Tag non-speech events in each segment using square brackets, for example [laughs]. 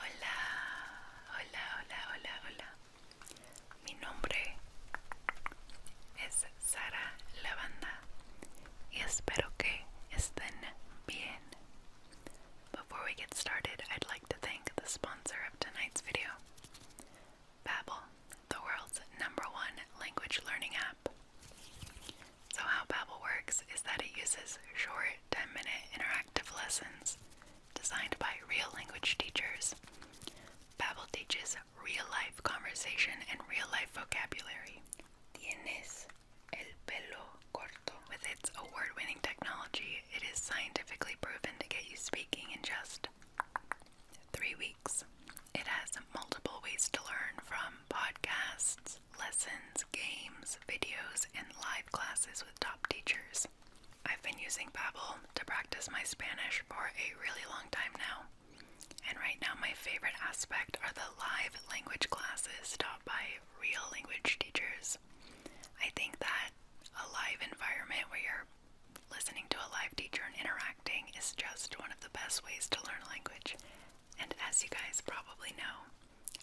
Hola, hola, hola, hola, hola. Mi nombre es Sara Lavanda y espero que estén bien. Before we get started, I'd like to thank the sponsor of tonight's video, Babbel, the world's number one language learning app. So, how Babbel works is that it uses short 10 minute interactive lessons designed by real language teachers. Babbel teaches real life conversation and real life vocabulary. Tienes el pelo corto. With its award winning technology, it is scientifically proven to get you speaking in just three weeks. It has multiple ways to learn from podcasts, lessons, games, videos, and live classes with top teachers. I've been using Babbel to practice my Spanish for a really long time now. And right now my favorite aspect are the live language classes taught by real language teachers. I think that a live environment where you're listening to a live teacher and interacting is just one of the best ways to learn a language. And as you guys probably know,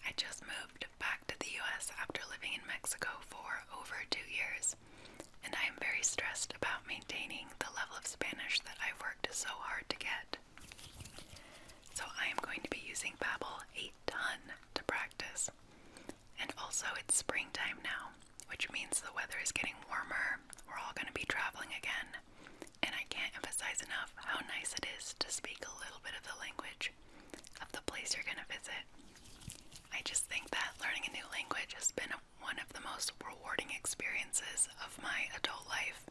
I just moved back to the US after living in Mexico for over two years, and I am very stressed about maintaining the level of Spanish that I've worked so hard to get. So I am going to be using Babbel a ton to practice. And also it's springtime now, which means the weather is getting warmer. We're all going to be traveling again. And I can't emphasize enough how nice it is to speak a little bit of the language of the place you're going to visit. I just think that learning a new language has been one of the most rewarding experiences of my adult life.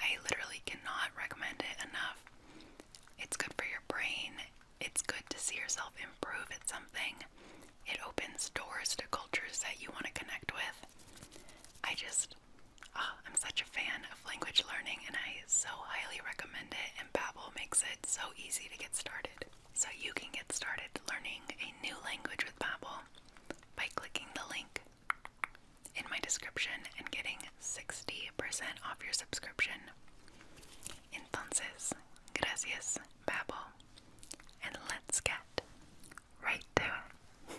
I literally cannot recommend it enough. It's good for your brain, it's good to see yourself improve at something, it opens doors to cultures that you want to connect with. I just Ah, I'm such a fan of language learning and I so highly recommend it and Babbel makes it so easy to get started. So you can get started learning a new language with Babbel by clicking the link in my description and getting 60% off your subscription. Entonces, gracias Babbel. And let's get right to it.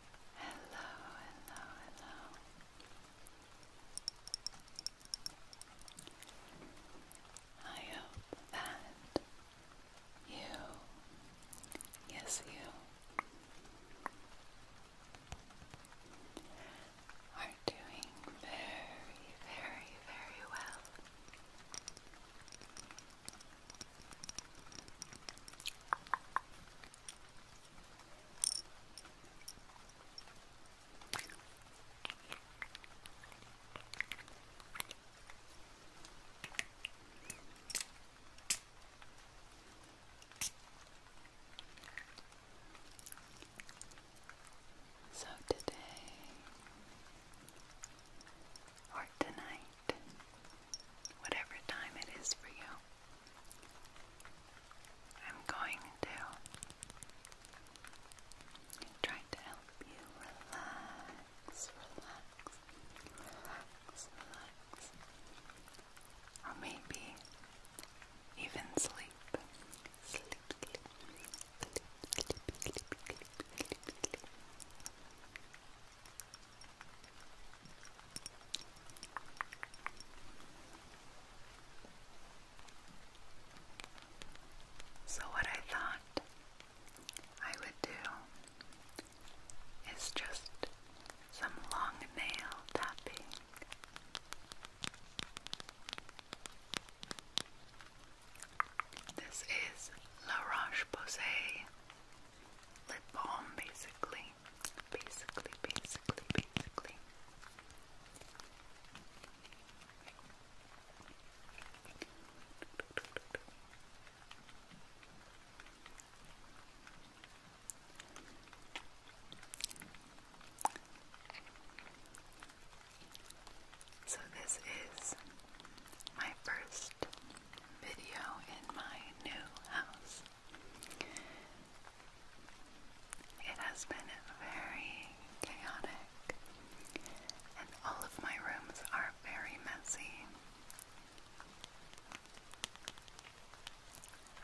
Hello, hello, hello. I hope that you, yes, you, are doing very, very, very well. So today or tonight whatever time it is for you. I'm going to try to help you relax, relax, relax, relax, or maybe even sleep. Sleep, sleep, sleep, sleep, sleep, sleep, sleep, sleep. So, what I thought I would do is just some long nail tapping. This is La Roche Posay lip balm basically. Basically, basically, basically. So, this is my first video in my new house. It has been very chaotic, and all of my rooms are very messy.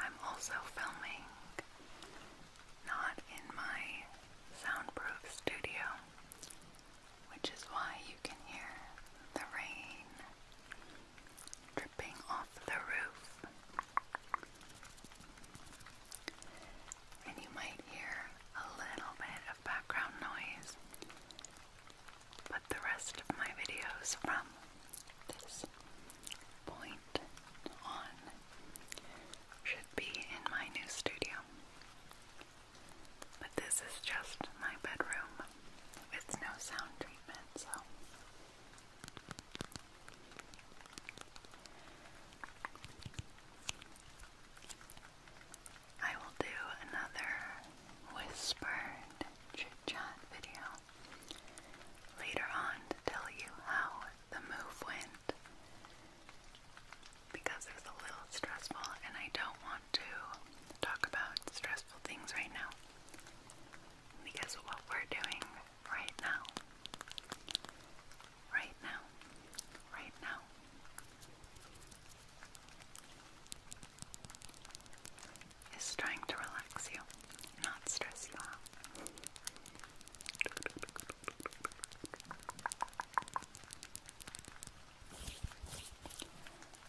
I'm also filming not in my soundproof studio, which is why you can hear the rain dripping off the roof. And you might hear a little bit of background noise, but the rest of my videos from this point on should be in my new studio. But this is just my bedroom. It's no sound treatment, so I will do another whispered chit chat video later on to tell you how the move went because it was a little stressful and I don't want to talk about stressful things right now. Because what we're doing right now, right now, right now, is trying to relax you, not stress you out.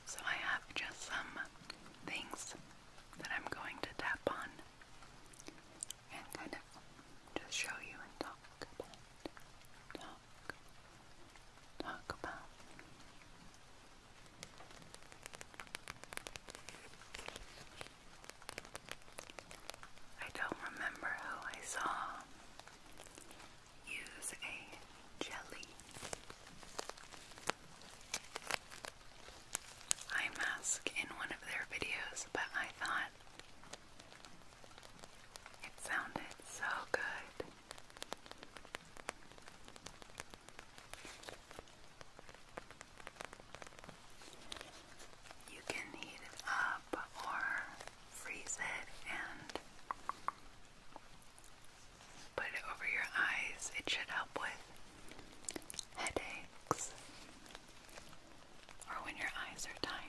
So I have just some things that I'm going to tap on and kind of just show you and talk about. I don't remember who I saw use a jelly eye mask in one of their videos, but I thought it sounded so good. You can heat it up or freeze it and Put it over your eyes. It should help with headaches or when your eyes are tired.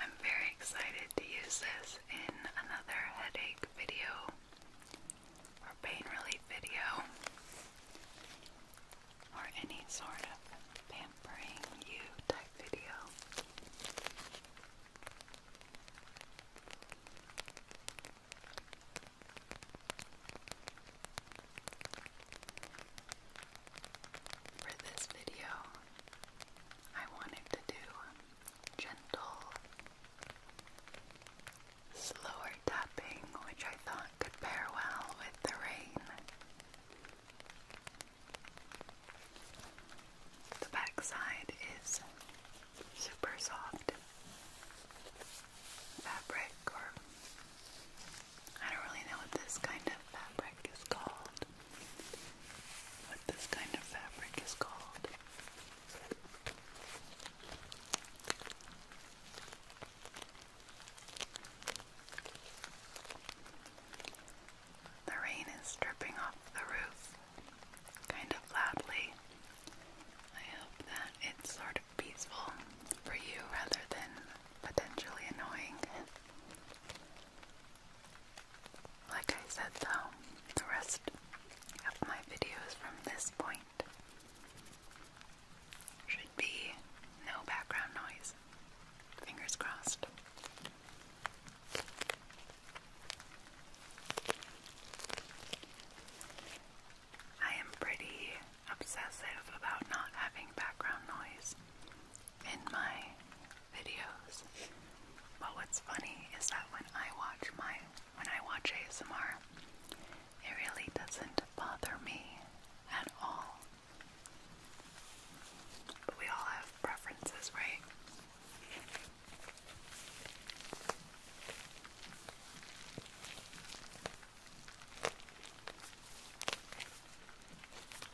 I'm very excited to use this in another headache video or pain relief video or any sort of pampering you type video. For this video, I wanted to do gentle, slower tapping, which I thought could pair well with the rain. The backside is super soft fabric, or I don't really know what this kind of fabric is called what this kind of fabric is called. The rain is dripping off the roof kind of loudly. I hope that it's sort of peaceful for you rather than potentially annoying. Like I said though, the rest of my videos from this point should be no background noise. Fingers crossed. I am pretty obsessive about not having background noise in my videos. But what's funny is that when I watch my when I watch ASMR, it really doesn't bother me at all. But we all have preferences, right?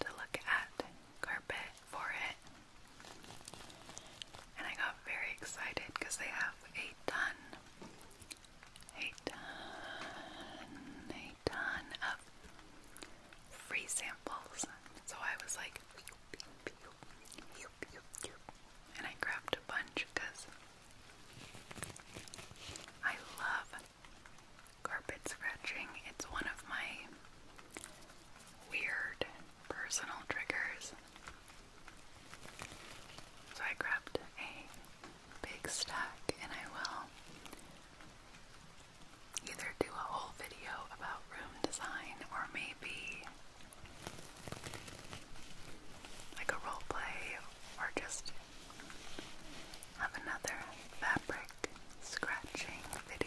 to look at carpet for it. And I got very excited because they have a ton, a ton, a ton of free samples. So I was like, and I grabbed a bunch because I love Carpet scratching, it's one of my weird personal triggers. So I grabbed a big stack and I will either do a whole video about room design or maybe like a role or just of another fabric scratching video.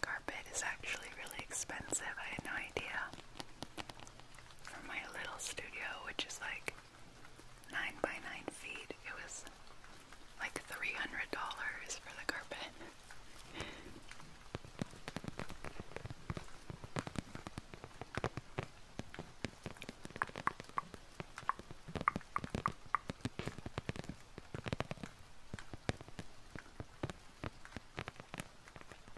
Carpet is actually really expensive. I had no idea. For my little studio, which is like 9 by 9 feet, it was like $300 for the carpet.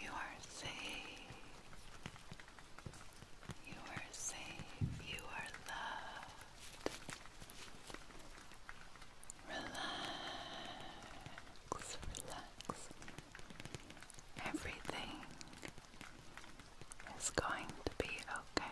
You are safe. You are safe. You are loved. Relax, relax. Everything is going to be okay.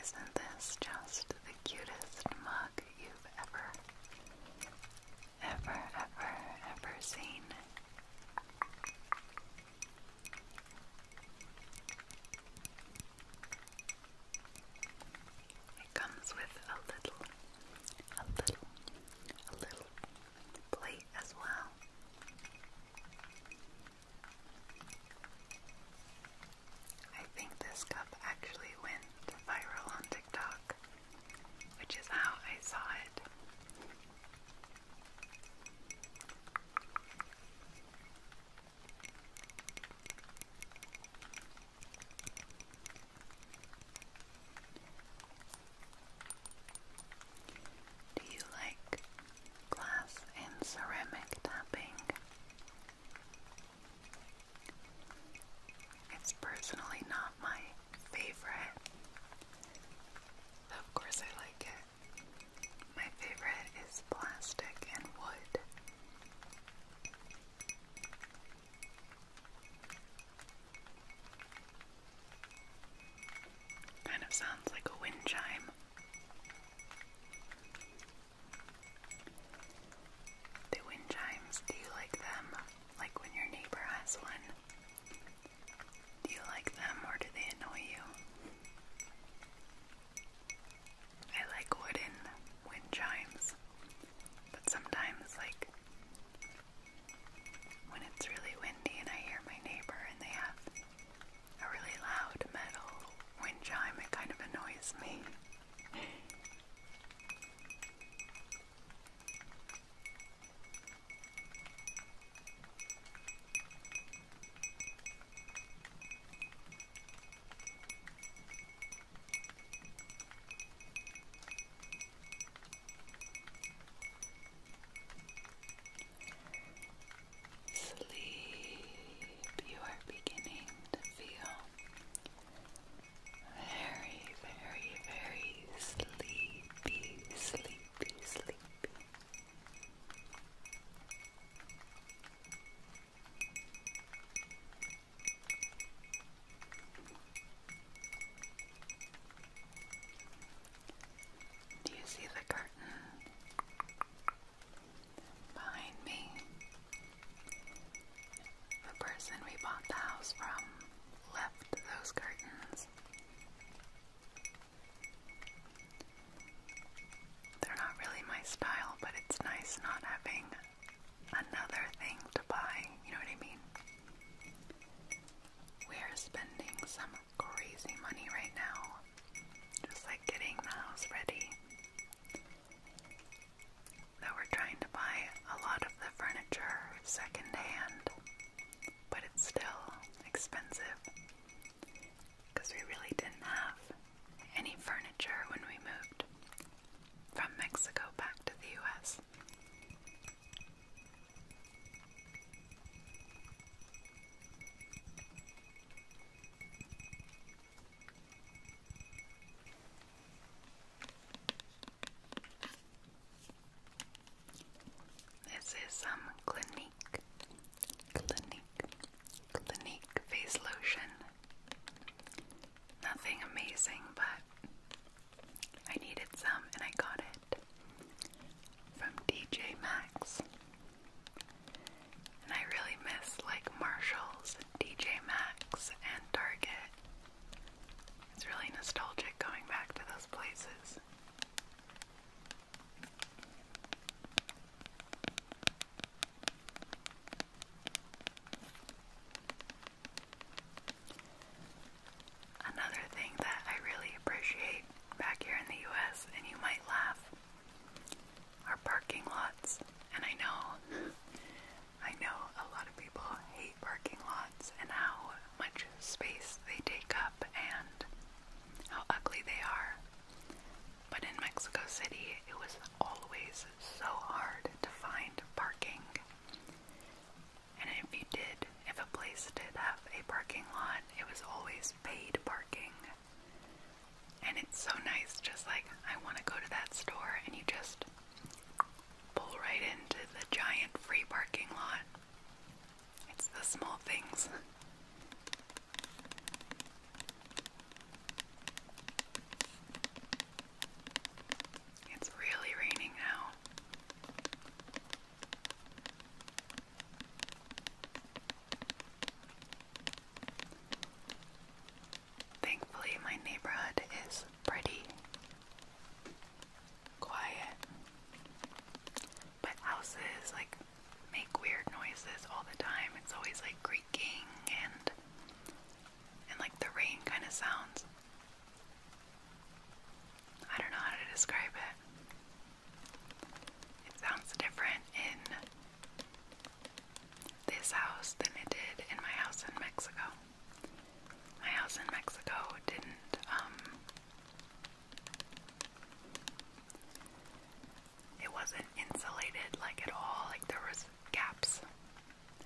Isn't this just the cutest mug you've ever, ever, ever, ever seen? It comes with a little, a little, a little plate as well. I think this cup actually went viral on TikTok, which is how I saw it. Do you like glass and ceramic tapping? It's personally not my favorite. Of course, I like it. My favorite is plastic and wood. Kind of sounds like a wind chime. The wind chimes, do you like them? Like when your neighbor has one? Do you like them or do they annoy you? I like wooden wind chimes, but sometimes, like, when it's really windy and I hear my neighbor and they have a really loud metal wind chime, it kind of annoys me sleep, you are beginning to feel very, very, very sleepy, sleepy, sleepy. Do you see the curtain? Behind me, the person we bought the house from left those curtains. They're not really my style, but it's nice not having another thing to buy, you know what I mean? We are spending some crazy money right now. Just like getting the house ready. Though we're trying to buy a lot of the furniture secondhand, but it's still expensive because we really didn't have any furniture when we moved from Mexico back to the US. This is some Clinique, Clinique, Clinique face lotion. Nothing amazing, but I needed some and I got it from DJ Maxx. And I really miss like Marshalls and DJ Maxx and Target. It's really nostalgic going back to those places. Another thing that I really appreciate back here in the US, and you might laugh, are parking lots. And I know, [laughs] I know a lot of people hate parking lots and how much space they take up and how ugly they are. But in Mexico City, it was always so hard to find parking. And if you did, if a place did have a parking lot, it was always paid parking. And it's so nice, just like I want to go to that store, and you just pull right into the giant free parking lot. It's the small things. It's really raining now. Thankfully, my neighborhood is pretty quiet, but houses like make weird noises all the time. It's always like creaking and and like the rain kind of sounds. I don't know how to describe it. It sounds different in this house than it did in my house in Mexico. My house in Mexico didn't, um, it wasn't insulated like at all. Like there was gaps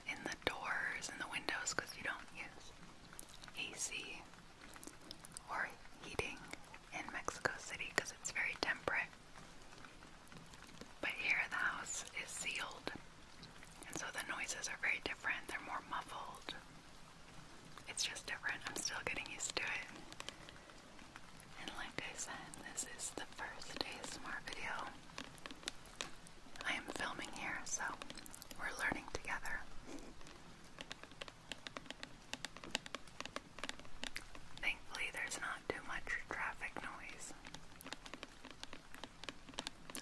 in the doors and the windows because you don't use AC or heating in Mexico City because it's very temperate. But here the house is sealed, and so the noises are very different. They're more muffled. It's just different. I'm still getting used to it. And like I said, this is the first ASMR video I am filming here, so we're learning together. Thankfully, there's not too much traffic noise.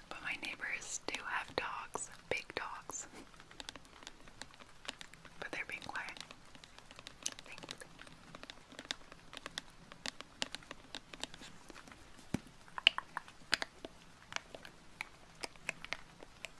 But my neighbors do have dogs, big dogs. But they're being quiet.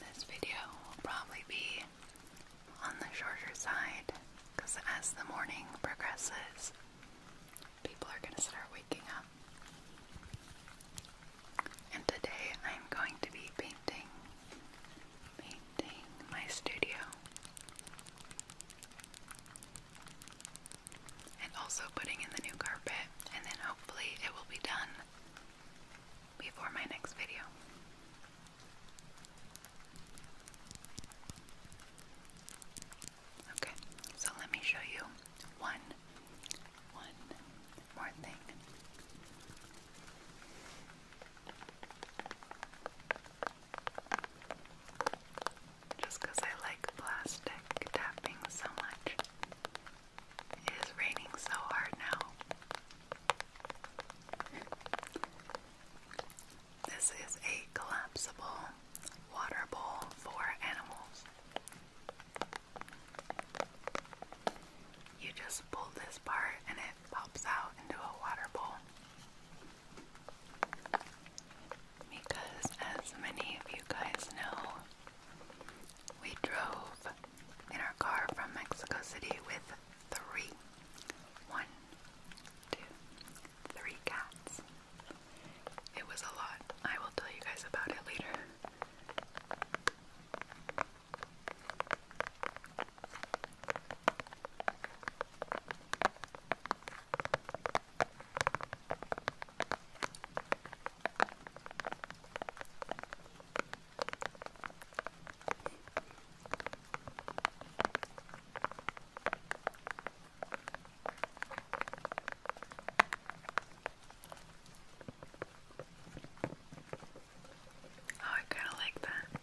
This video will probably be on the shorter side because as the morning progresses, people are going to start waking up. And today I'm going to be painting painting my studio and also putting in the new carpet and then hopefully it will be done before my next video. Okay, so let me show you one one more thing. Just because I like plastic tapping so much. It is raining so hard now. This is a collapsible water bowl for animals. You just pull this part and it pops out into a water bowl. Because, as many of you guys know, we drove in our car from Mexico City with three one, two, three cats. It was a lot. I will tell you guys about it later. Oh, I kind of like that.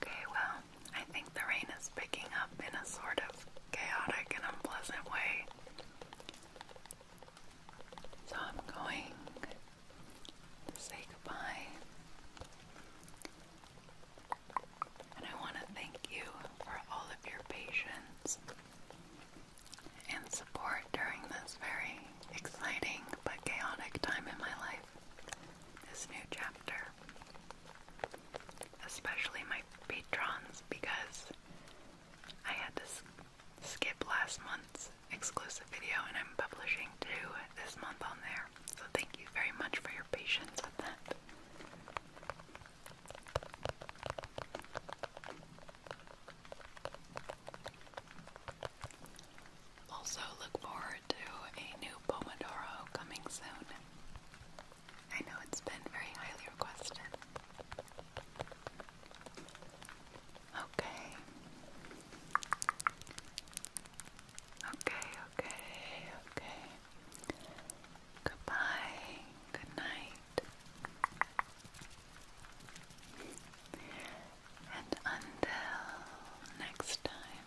Okay, well, I think the rain is picking up in a sort of chaotic and unpleasant way. So I'm going to say goodbye. And I want to thank you for all of your patience and support during this very exciting but chaotic time in my life this new chapter, especially my patrons, because I had to skip last month's exclusive video and I'm publishing two this month on there. So thank you very much for your patience with that. Also, look forward to a new Pomodoro coming soon. I know it's been very highly requested. Okay. Okay, okay, okay. Goodbye. Good night. And until next time,